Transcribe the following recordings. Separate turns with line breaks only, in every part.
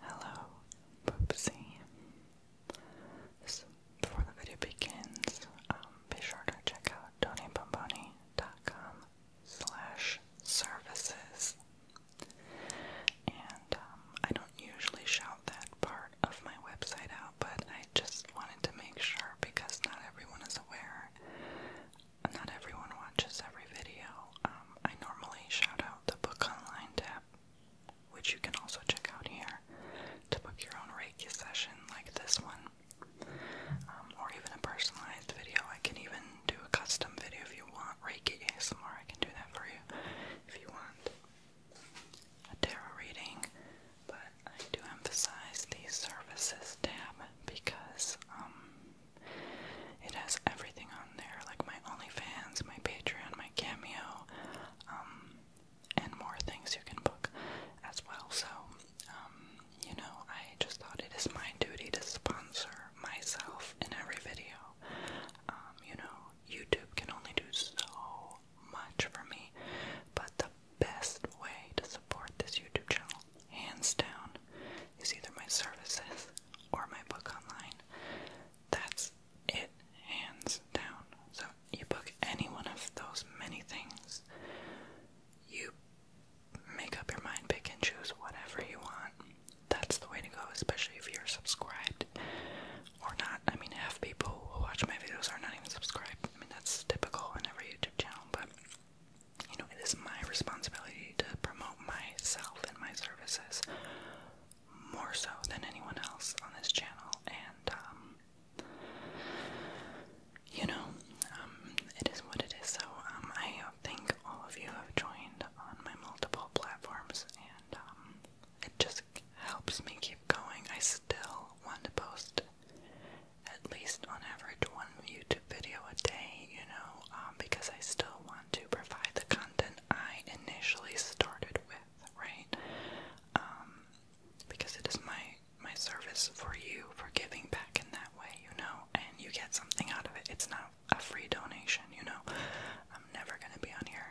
Hello, Boopsy. before the video begins, um, be sure to check out donnybomboni.com services. And um, I don't usually shout that part of my website out, but I just wanted to make sure because not everyone is aware not everyone watches every video. Um, I normally shout out the Book Online tab, which you can also check out here, to book your own Reiki session like this one. Um, or even a personalized video. I can even do a custom video if you want. Reiki ASMR, I can do that for you if you want. A tarot reading, but I do emphasize the services tab because um, it has everything on there, like my OnlyFans, my Patreon, my Cameo, um, and more things you can book as well. So, um, you know, I just thought it is my duty to sponsor myself in every video. you know, YouTube can only do so much for me, but the best way to support this YouTube channel, hands down, is either my services or my book online. That's it, hands down. So you book any one of those many things. You make up your mind, pick and choose whatever you want. That's the way to go, especially if you're subscribed or not. I mean, half people who watch my videos are not even subscribed. I mean, that's typical in every YouTube channel, but you know, it is my responsibility to promote myself and my services more so than anyone else on this channel. And, um, you know, um, it is what it is. So, um, I think all of you have joined on my multiple platforms, and, it just helps me keep going. I still want to post at least on average one YouTube video a day, you know, um, because I still want to provide the content I initially started with, right? Um, because it is my my service for you for giving back in that way, you know, and you get something out of it. It's not a free donation, you know. I'm never gonna be on here,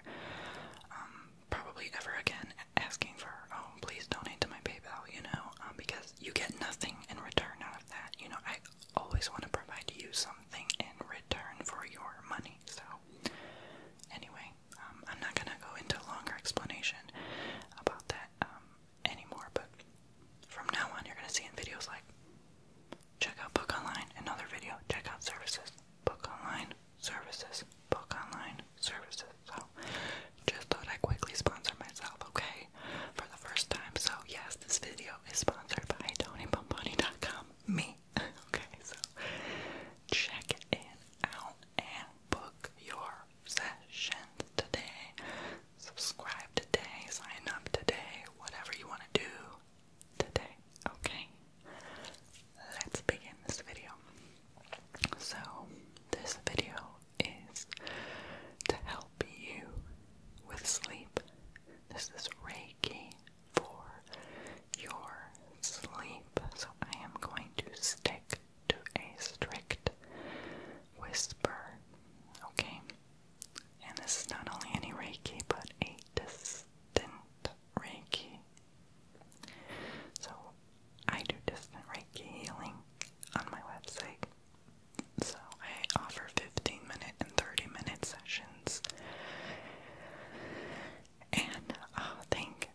um, probably ever again asking for oh please donate to my PayPal, you know, um, because you get nothing in return out of that. You know, I always want to provide you something in return for your money. So, anyway, um, I'm not gonna go into a longer explanation about that um, anymore. But from now on, you're gonna see in videos like check out book online, another video, check out services, book online, services, book online, services. So just thought i quickly sponsor myself, okay? For the first time. So yes, this video is sponsored by TonyPomponi.com. Me. okay, so check it out and book your sessions today. Subscribe today, sign up today, whatever you want to do today. Okay, let's begin this video. So, this video is to help you with sleep. This is Reiki for your sleep. So I am going to stick to a strict whisper, okay? And this is not only any Reiki, but a distant Reiki. So I do distant Reiki healing on my website. So I offer 15 minute and 30 minute sessions. And uh, thank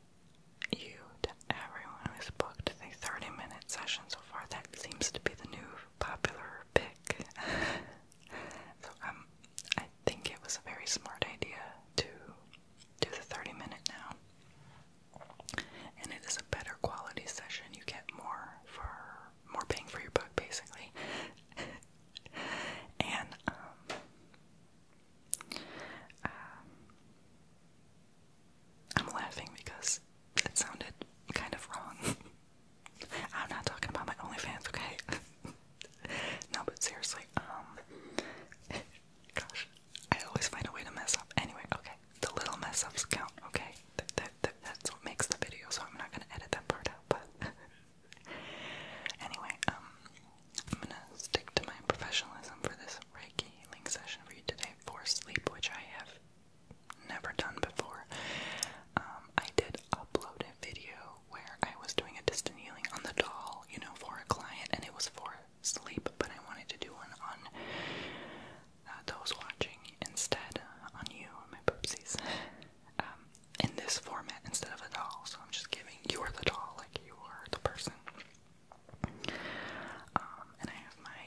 you to everyone who's booked the 30 minute session so far. That seems to be the new popular pick. so um, I think it was a very smart idea to do the 30 minute now and it is a better quality session. You get more for more paying for your book, basically. and um, um, I'm laughing because it sounded kind of wrong. I'm not talking about my OnlyFans, okay? no, but seriously, um, gosh, I always find a way to mess up. Anyway, okay, the little mess ups count, okay? that's what makes the video, so I'm not gonna edit that part out, but anyway, um I'm gonna stick to my professionalism for this Reiki link session for you today for sleep, which I have never done before. Um, I did upload a video where I was doing a distant healing on the doll, you know, for a client, and it was for sleep, but I wanted to do one on uh, those watching instead uh, on you, my poopsies. Um, in this format instead of a doll, so I'm just giving you're the doll, like you are the person. Um, and I have my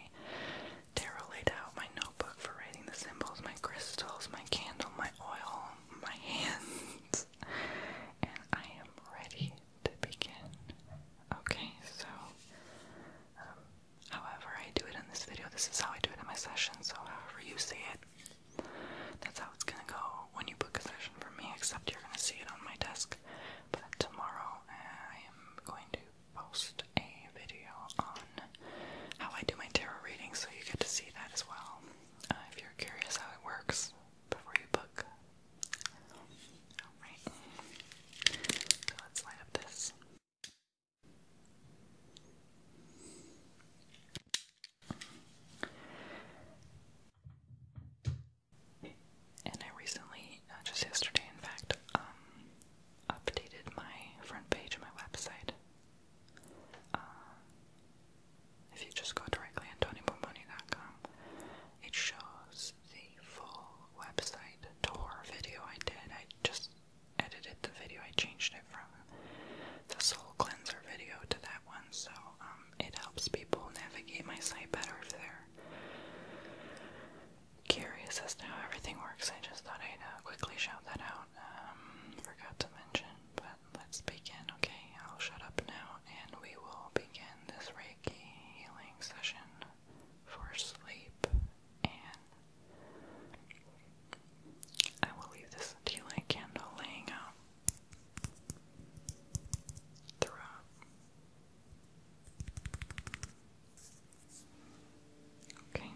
tarot laid out, my notebook for writing the symbols, my crystals, my candle, my oil, my hands, and I am ready to begin. Okay, so um, however I do it in this video. This is how I do it in my session, so however you see it, that's how it's gonna go when you book a session for me, except you're gonna see it on my desk. But tomorrow uh, I am going to post a video on how I do my tarot reading, so you get to see that as well. Uh, if you're curious how it works before you book. Alright. So let's light up this. And I recently, uh, just yesterday in fact, um, updated my front page of my website. Uh, if you just go directly on TonyBomboni.com, it shows the full website tour video I did. I just edited the video. I changed it from the soul cleanser video to that one, so um, it helps people navigate my site better if they're curious as to how everything works. I just thought I'd uh, quickly shout that out. Um, forgot to mention, but let's begin. Okay, I'll shut up now, and we will begin this Reiki healing session for sleep, and I will leave this tea candle laying out throughout. Okay,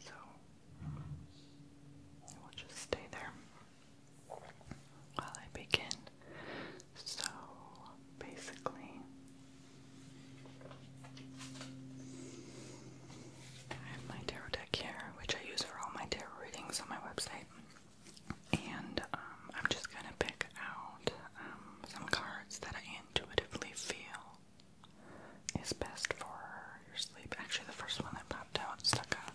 so it will just stay there while I begin so basically, I have my tarot deck here, which I use for all my tarot readings on my website. And um, I'm just going to pick out um, some cards that I intuitively feel is best for your sleep. Actually, the first one I popped out stuck out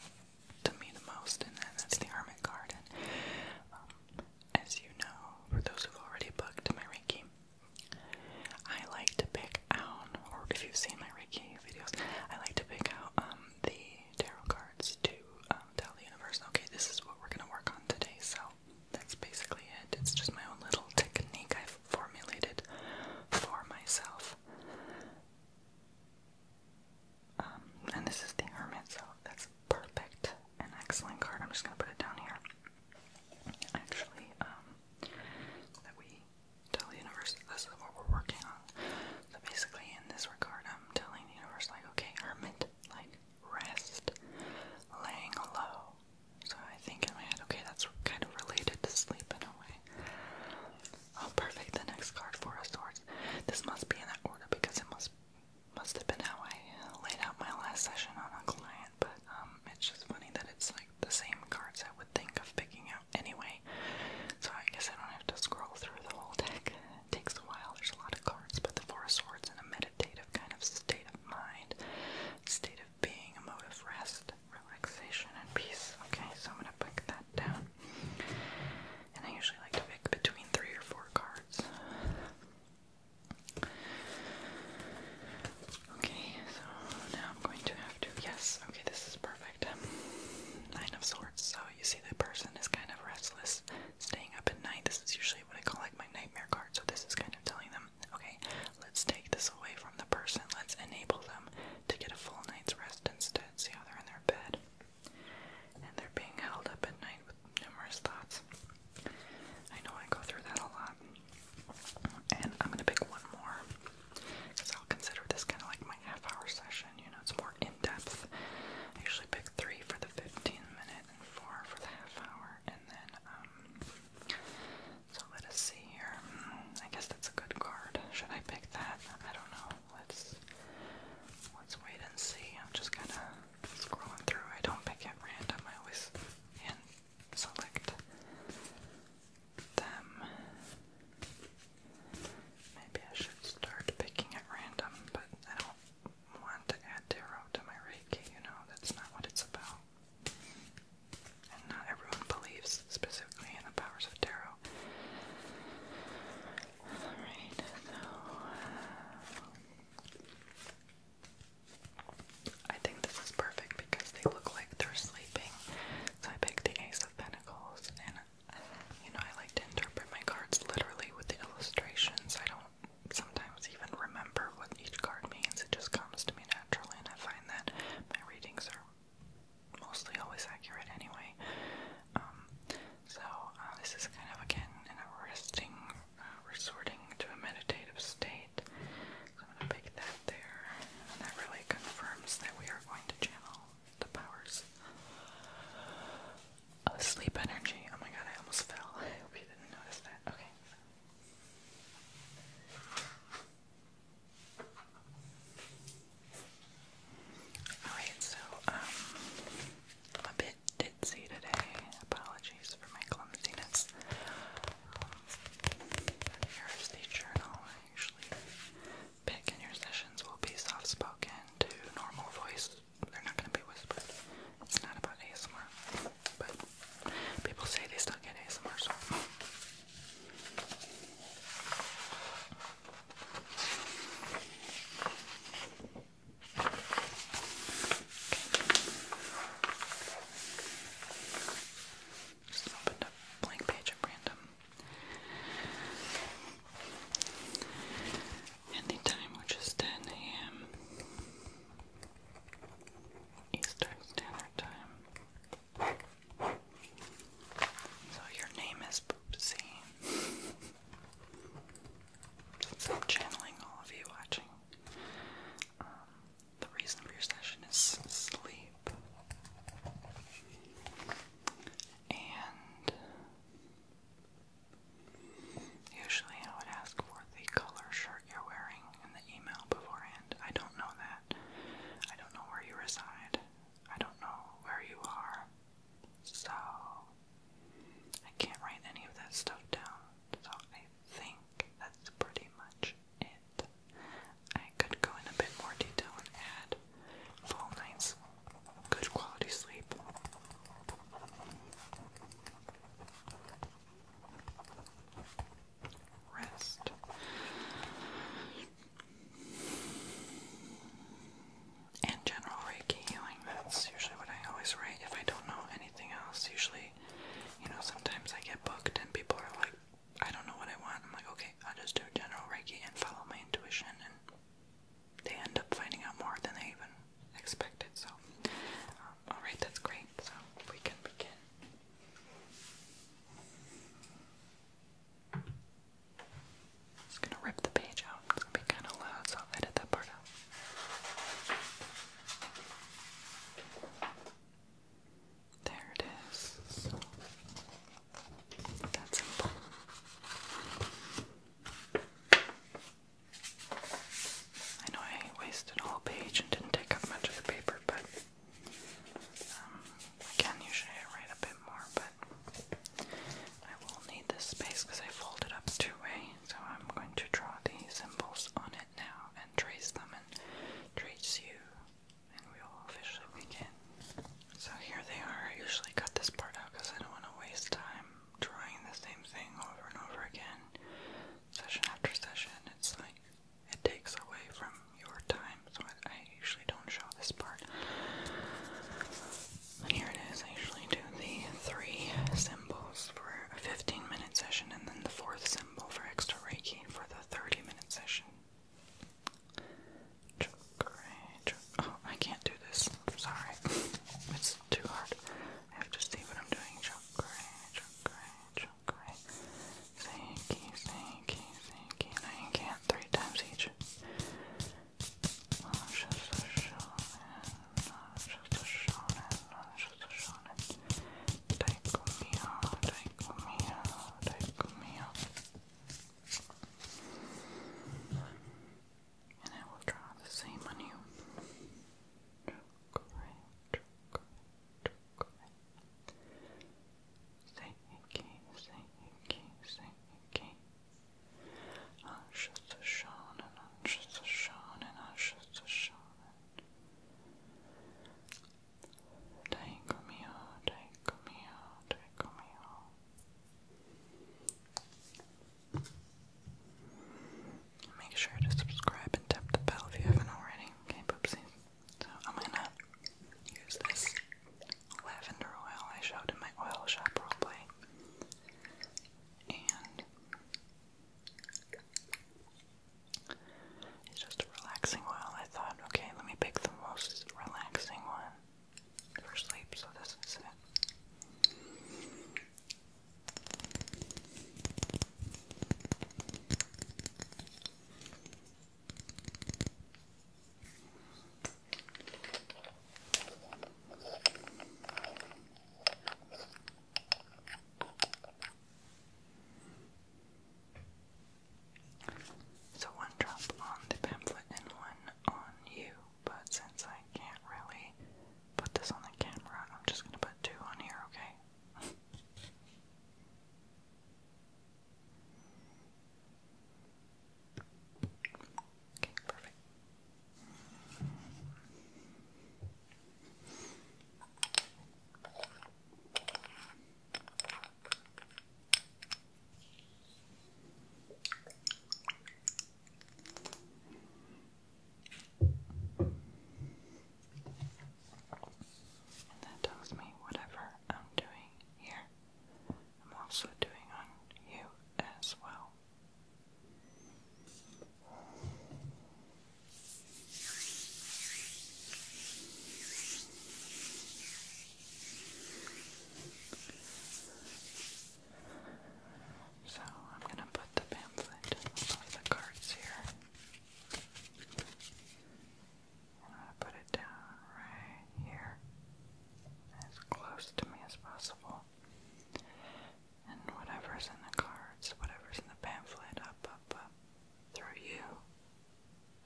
to me the most, and that's the Hermit card as you know, for those who've already booked my Reiki, I like to pick out, or if you've seen my Reiki videos, I like to pick out um, the tarot cards to um, tell the universe, okay, this is what we're going to work on today. So that's basically it. It's just my own little technique I've formulated for myself. Um, and this is the Hermit, so that's perfect an excellent card. I'm just gonna put it down here. Actually, um, that we tell the universe this is what we're working on. So basically, in this regard, I'm telling the universe, like, okay, hermit, like, rest, laying low. So I think in my head, okay, that's kind of related to sleep in a way. Oh, perfect. The next card, Four of Swords. This must be in that order because it must must have been how I uh, laid out my last session on a client, but um, it's just funny that it's like the same cards I would think of picking out anyway. So I guess I don't have to scroll through the whole deck. It takes a while, there's a lot of cards, but the Four Swords in a meditative kind of state of mind, state of being, a mode of rest, relaxation, and peace. Okay, so I'm gonna pick that down. And I usually like to pick between three or four cards. Okay, so now I'm going to have to. Yes, okay, this is perfect. Nine of Swords. So you see, that person is kind of restless, staying up at night. This is usually what I call like my nightmare card. So this is kind of telling them, okay, let's take this away from the person. Let's enable them to get a full night's rest instead. See how they're in their bed. And they're being held up at night with numerous thoughts. I know I go through that a lot. And I'm gonna pick one more because I'll consider this kind of like my half hour session, you know, it's more in depth. I usually pick three for the 15 minute and four for the half hour, and then, um, so let us see here. I guess that's a good card. Should I pick that? I don't know. Let's let's wait and see. I'm just gonna scrolling through. I don't pick at random. I always hand select them. Maybe I should start picking at random, but I don't want to add tarot to my Reiki, you know, that's not what it's about. not everyone believes specifically in the powers of tarot. Alright, so. I think this is perfect because they look like they're sleeping. So I picked the Ace of Pentacles, and you know, I like to interpret my cards literally with the illustrations. I don't sometimes even remember what each card means, it just comes to me naturally, and I find that my readings are mostly always accurate anyway. Um, so, uh, this is kind of again an arresting uh, resorting to a meditative state. So I'm going to pick that there, and that really confirms that we are going to channel the powers of sleep energy. Oh my god, I almost fell. I hope you didn't notice that. Okay. Alright, so um, did, did see today. Apologies for my clumsiness. Um, here is the journal I usually pick, and your sessions will be soft spoken to normal voice. They're not going to be whispered. It's not about ASMR, but people say they still get ASMR, just opened a blank page at random. And the time, which is 10 a.m. Eastern Standard Time. So your name is Boopsie. channeling all of you watching. Um, the reason for your session is sleep. And usually I would ask for the color shirt you're wearing in the email beforehand. I don't know that. I don't know where you reside. I don't know where you are. So I can't write any of that stuff down. So think that's pretty much it. I could go in a bit more detail and add full nights, good quality sleep. Rest. And general Reiki healing. That's usually what I always write if I don't know anything else. Usually I, you know, sometimes I get booked and people are like, I don't know what I want. I'm like, okay, I'll just do general Reiki and follow my intuition, and they end up finding out more than they even expected. So, um, all right, that's great. So we can begin. Just gonna rip the page out. It's gonna be kind of loud, so I'll edit that part out. There it is. that's simple. I know I wasted a whole page and didn't take up much of the paper, but um, I write a bit more, but I will need this space because I fold it up two way so I'm going to draw the symbols on it now and trace them and trace you, and we'll officially begin. So here they are. I usually cut this part out because I don't want to waste time drawing the same thing over and over again, session after session. It's like it takes away from your time, so I, usually don't show this part. here it is. I usually do the three symbols for a 15 minute session, and then the fourth symbol for extra Reiki for the 30 minute session. Oh, I can't do this. Sorry. It's too hard. I have to see what I'm doing. Chakra, chakra, chakra. Seki, seki, seki. And I can't three times each. Taikomiya, Taikomiya, Taikomiya. And I will draw the same on you. Great, great, great. Say Iki, say Iki, say Iki. Ashes to shone and ashes to shone and ashes to shone. Taiko mio, taiko mio, taiko mio. Make sure to subscribe and tap the bell if you haven't already. Okay, poopsie. So I'm gonna use this lavender oil I showed in my oil shop roleplay. It's just a relaxing oil. I thought, okay, let me pick the most relaxing one for sleep, so this is it. So one drop on the pamphlet and one on you, but since I can't really put this on the camera, I'm just gonna put two on here, okay? Okay, perfect. That tells me whatever I'm doing here, I'm also doing on you as well. So I'm going to put the pamphlet above the cards here. I put it down right here, as close to me as possible and whatever's in the cards, whatever's in the pamphlet, up, up, up, through you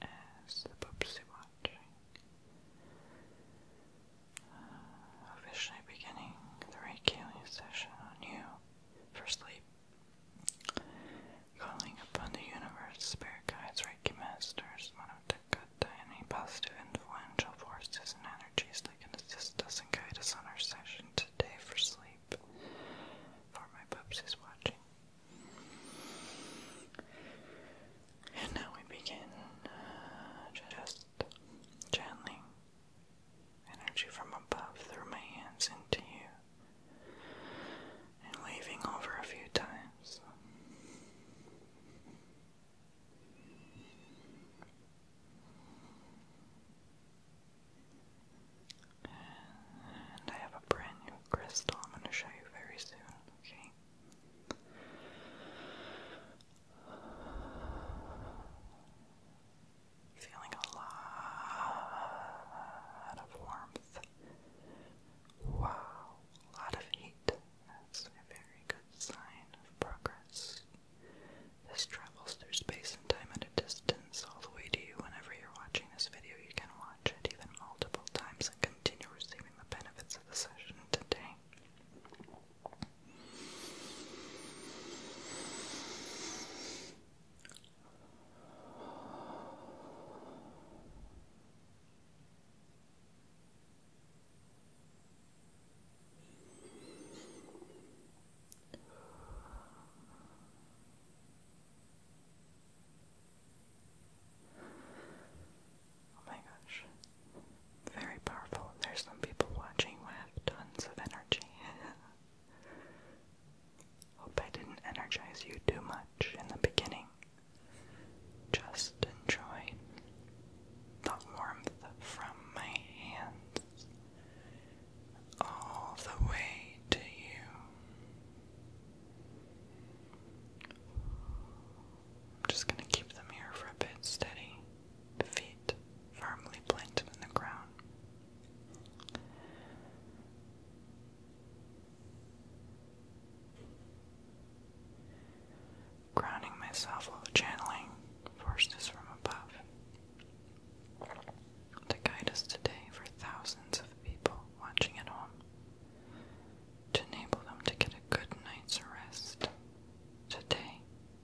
as the Poopsie watching. Uh, officially beginning the Reiki session on you for sleep. Calling upon the universe, spirit guides, Reiki masters, Monotekata, any positive influential forces and energies that can assist us and guide us on our session today for sleep for my pups is watching. And now we begin uh, just channeling energy from above through my hands into you and waving over a few times. And I have a brand new crystal I'm going to show you very soon, okay? Feeling a lot of warmth. Wow, a lot of heat. That's a very good sign of progress. This travels through space and time at a distance all the way to you. Whenever you're watching this video, you can watch it even multiple times and continue receiving the benefits of the session today. Oh my gosh. Very powerful. There's some people watching who have tons of energy. Hope I didn't energize you too much in the beginning. Just enjoy the warmth from my hands all the way to you. I'm just going to keep the mirror for a bit steady, feet firmly planted in the ground. Grounding myself while channeling forces from above to guide us today for thousands of people watching at home, to enable them to get a good night's rest today,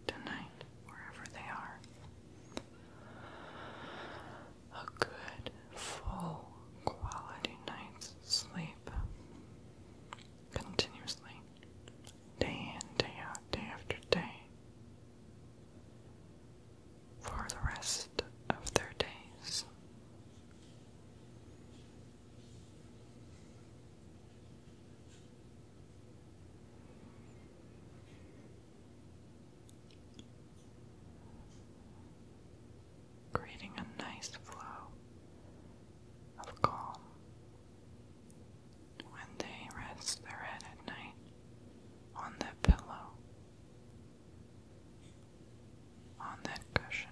tonight, wherever they are. A good, full, quality night's sleep continuously, day in, day out, day after day for the rest of their days. Creating a nice flow of calm when they rest their head at night on that pillow, on that cushion.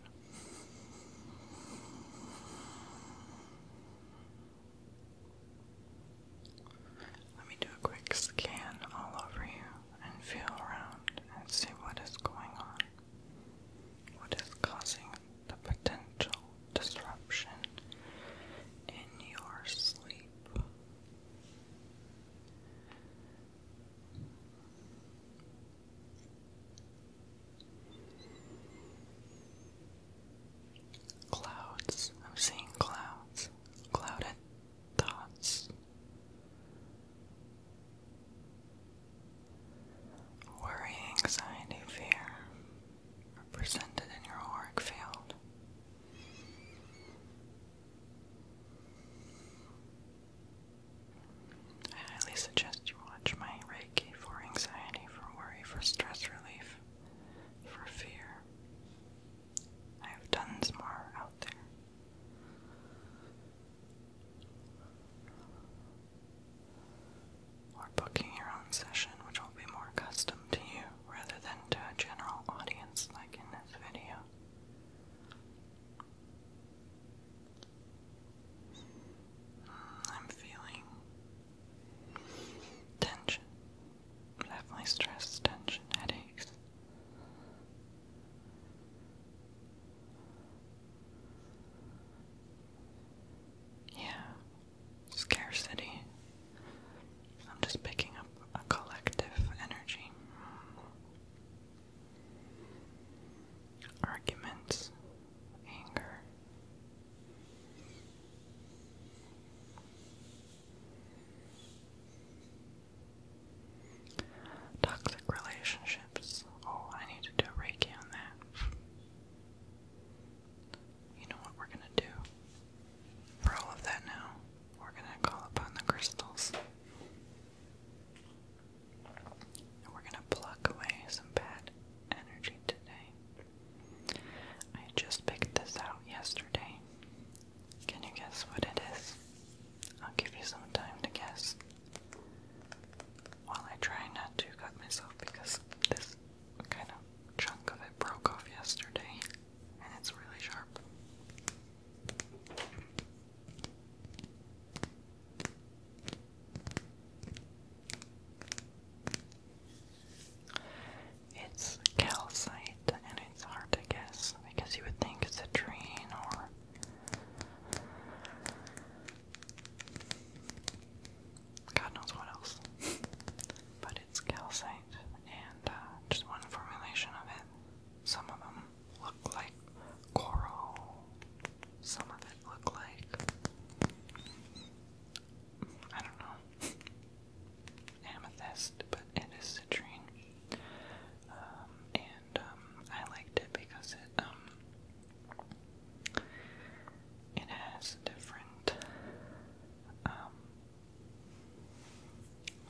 Let me do a quick scan all over you and feel around and see what is going on. What is causing the potential disruption in your sleep? Clouds. I'm seeing clouds. Clouded thoughts. Worry, anxiety, fear are in your auric field. I highly suggest you watch my Reiki for anxiety, for worry, for stress relief, for fear. I have tons more out there. Or booking your own session, which will be more custom to you rather than to a general audience like in this video. I'm feeling tension, definitely stress, tension, headaches. Yeah, scarcity, I'm just picking up a collective energy. Arguments, anger. Toxic relationships. Oh, I need to do a Reiki on that. You know what we're gonna do for all of that now? We're gonna call upon the crystals. And we're gonna pluck away some bad energy today. I just picked this out yesterday. Can you guess what it is? I'll give you some time to guess. While I try not to cut myself because this kind of chunk of it broke off yesterday it's really sharp. It's calcite and it's hard to guess because you would think citrine or God knows what else. but it's calcite and uh, just one formulation of it. Some of them look like coral, some of it look like I don't know amethyst, but it is citrine. Um, and um, I liked it because it um, it has different um,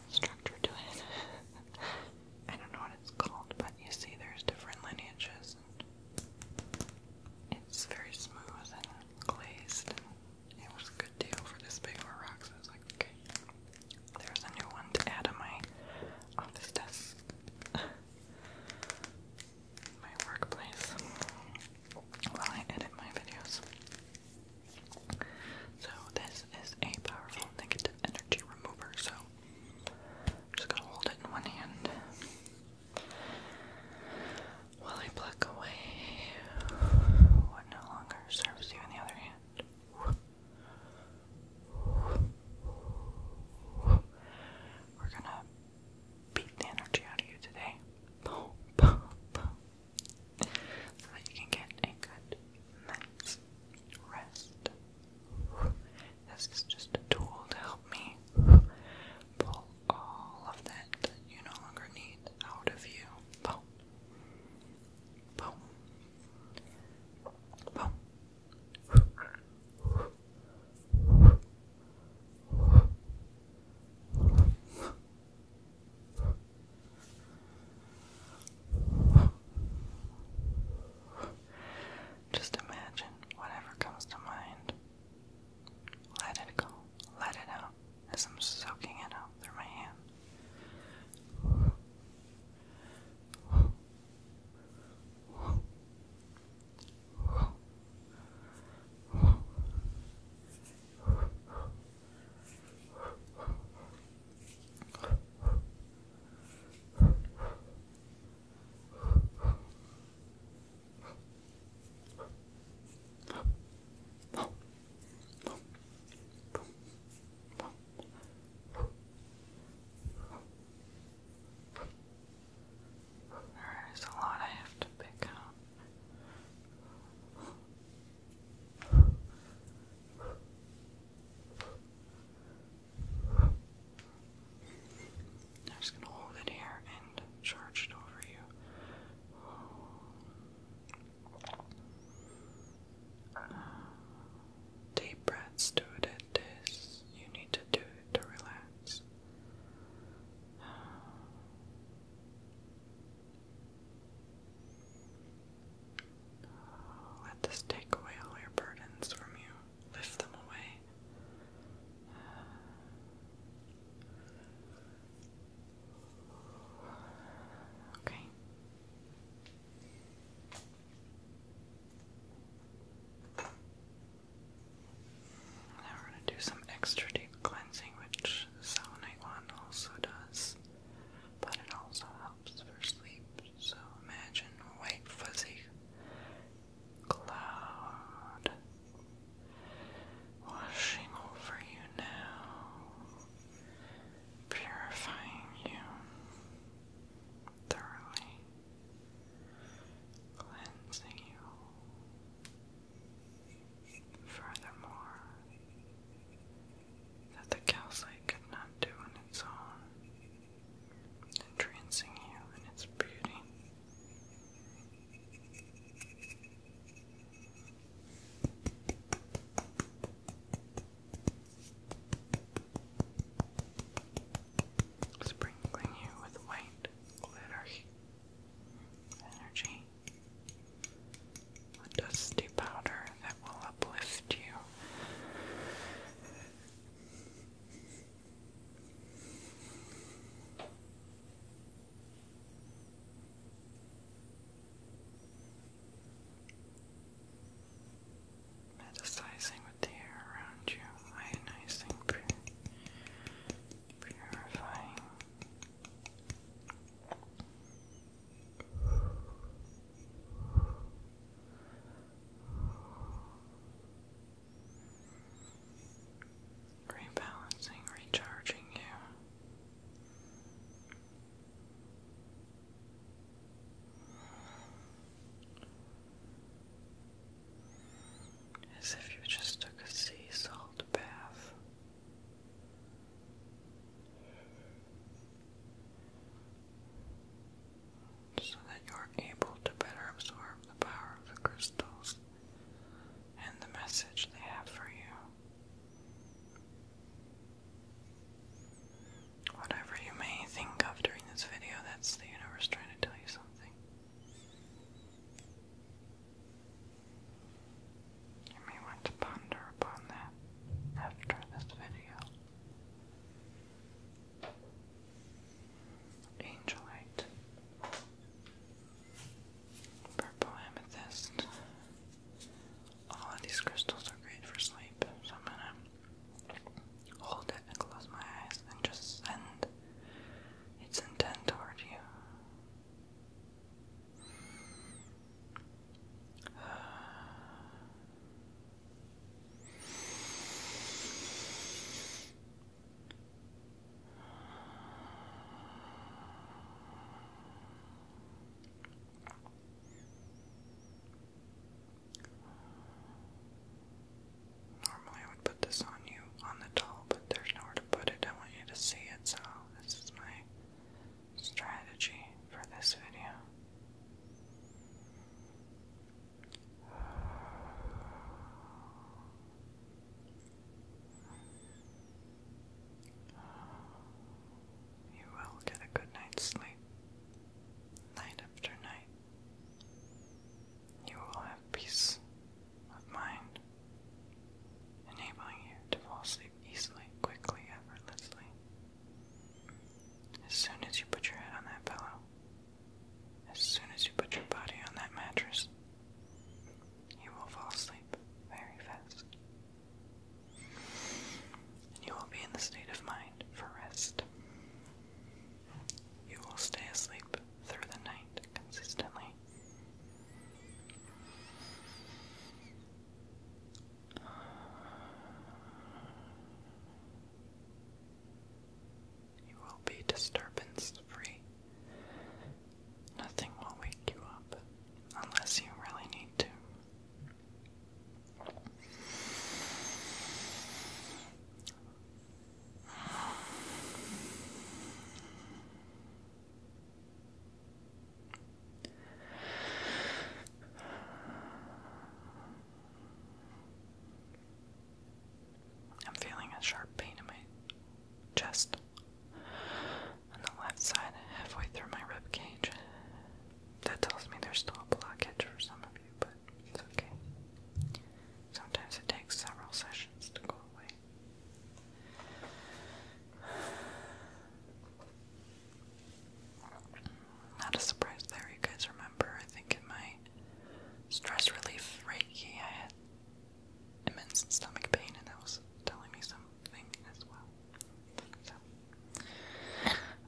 structure to it. I don't know what it's called, but you see there's different lineages it's very smooth and glazed it was a good deal for this big of a I was like, okay. There's a new one to add to my office desk. my workplace. While I edit my videos. So this is a powerful negative energy remover. So I'm just gonna hold it in one hand while I pluck away what no longer serves you in the other hand. We're gonna beat the energy out of you today so that you can get a good night's rest. This is just a tool to help me pull all of that you no longer need out of you. Just imagine whatever comes to mind. Let it go. Let it out as I'm soaking it out through my hand. There is a lot I have to pick up. I'm just going to hold it here and charge it over you. deep breaths do it this. You need to do it to relax. Let this take away all your burdens from you, lift them away. Okay. Now we're going to do some extra deep cleansing, which Selenite also does but it also helps for sleep. So imagine white fuzzy cloud washing over you now, purifying you thoroughly, cleansing you. Furthermore, that the calcite could not do on its own, entrancing you in its beauty. Sprinkling you with white glitter energy a dusty powder that will uplift you. Metasizing with the air around you, ionizing, purifying. Rebalancing, recharging you. As if you just took a sea salt bath so that you are able to better absorb the power of the crystals and the message they have for you. Whatever you may think of during this video, that's the universe trying to tell you something. You may want to ponder upon that after this video. Angelite, purple amethyst. All of these crystals are great for sleep, so I'm gonna hold it and close my eyes and just send its intent toward you. Normally, I would put this on you on the doll, but there's nowhere to put it. I want you to see it, so this is my strategy for this video. You will get a good night's sleep, night after night. You will have peace of mind, enabling you to fall asleep easily, quickly, effortlessly. As soon as you put your head on that pillow, as soon as you put your body on that mattress, you will fall asleep very fast. And you will be in the state of mind for rest. You will stay asleep through the night consistently. You will be disturbance free. Nothing will wake you up unless you really need to. I'm feeling a sharp pain in my chest on the left side, halfway through my rib cage. That tells me there's still a blockage for some of you, but it's okay. Sometimes it takes several sessions to go away. Not a surprise there, you guys remember. I think in my stress relief reiki, I had immense stomach pain, and that was telling me something as well.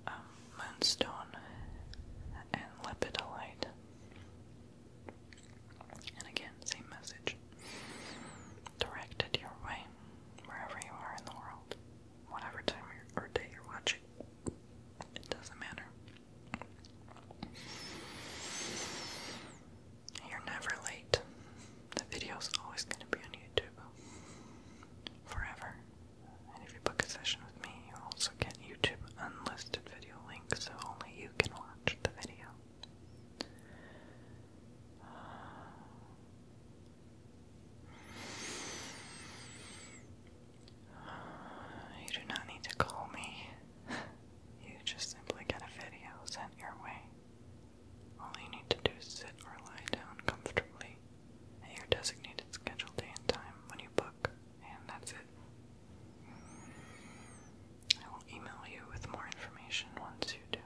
Um, moonstone and lepidolite. And again, same message directed your way, wherever you are in the world, whatever time or day you're watching. It doesn't matter. You're never late. The video's always going to be on YouTube forever. And if you book a session with me, you also get YouTube unlisted video links so only you can watch the video. You do not need to call me. You just simply get a video sent your way. All you need to do is sit or lie down comfortably at your designated scheduled day and time when you book, and that's it. I will email you with more information once you do.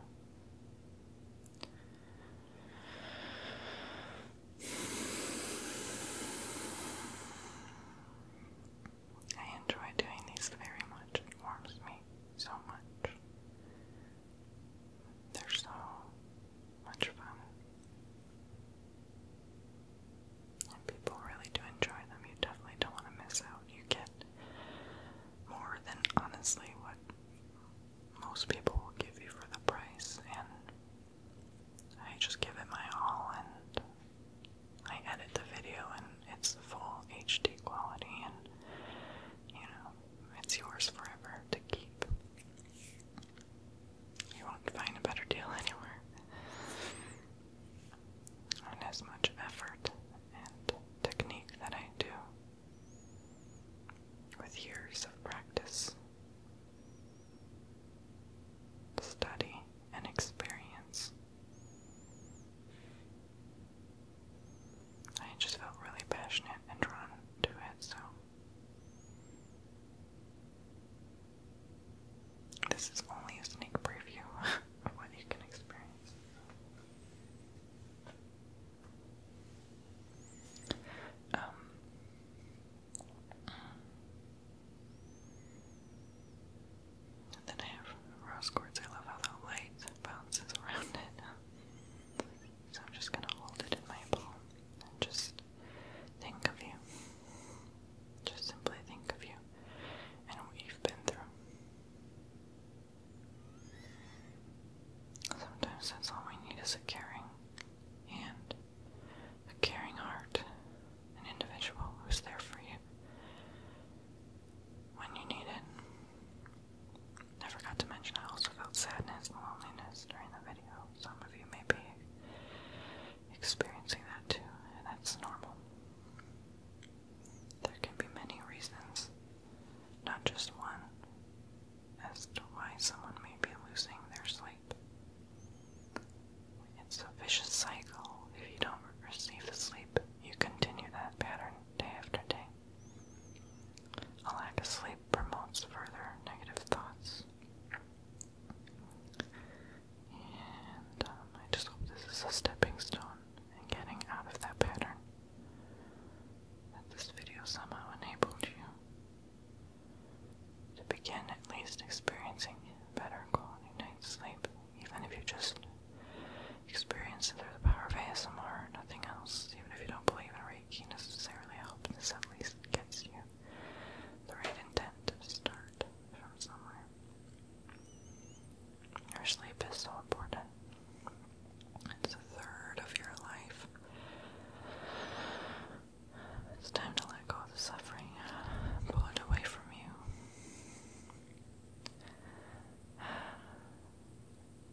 I enjoy doing these very much. It warms me so much. They're so much fun. And people really do enjoy them. You definitely don't want to miss out. You get more than honestly what most people will give you for the price, and I just give it my all, and I edit the video, and it's full HD quality, and you know, it's yours forever to keep. You won't find a better deal anywhere. And as much effort and technique that I do with years of practice, study, and experience, I just felt really passionate and drawn to it, so this is only a sneak preview of what you can experience. Um, and then I have rose quartz. I love how the light bounces around it. So I'm just gonna hold it in my palm and just think of you. Just simply think of you and what you've been through. Sometimes that's all we need is a caring hand, a caring heart, an individual who's there for you when you need it. I forgot to mention I also felt sadness and loneliness during the video. Some of you may be experiencing that too, and that's normal. There can be many reasons, not just one as to why someone may be losing their sleep. It's a vicious cycle. If you don't receive the sleep, you continue that pattern day after day. A lack of sleep promotes further negative thoughts. And um, I just hope this is a stepping stone in getting out of that pattern that this video somehow enabled you to begin at least experiencing better quality night's sleep, even if you just experience it through the power of ASMR or nothing else. Even if you don't believe in Reiki necessarily, really hope this at least gets you the right intent to start from somewhere. Your sleep is so important it's a third of your life. It's time to let go the suffering, pull it away from you,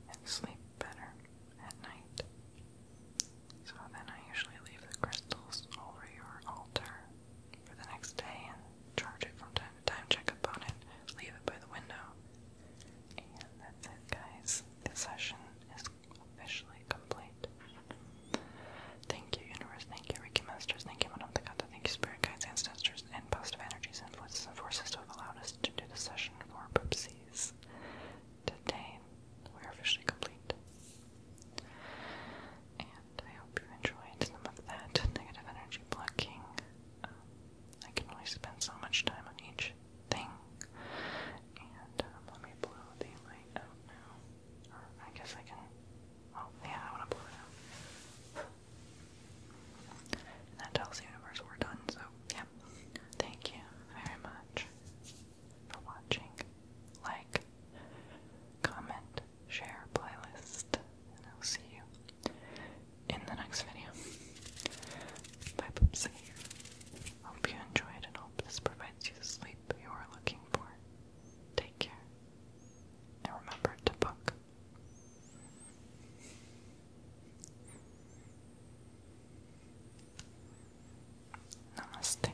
and sleep better at night. So then I usually leave the crystals over your altar for the next day and charge it from time to time, check up on it, leave it by the window, and that's it, guys. The session is officially complete. Thank you, universe. Thank you, Ricky Thank you, Madame Takata. Thank you, spirit guides, ancestors, and positive energies, and forces to have allowed us to do the session for Poopsies. Today, we're officially complete. And I hope you enjoyed some of that negative energy blocking. Um, I can only spend so much time on each thing. And uh, let me blow the light out now. I guess I can. Oh, yeah, I want to blow it out. that tells the universe we're done, so yeah. Thank you very much for watching. Like, comment, share playlist, and I'll see you in the next video. Bye, poopsie. Hope you enjoyed and hope this provides you the sleep you are looking for. Take care. And remember to book. Namaste.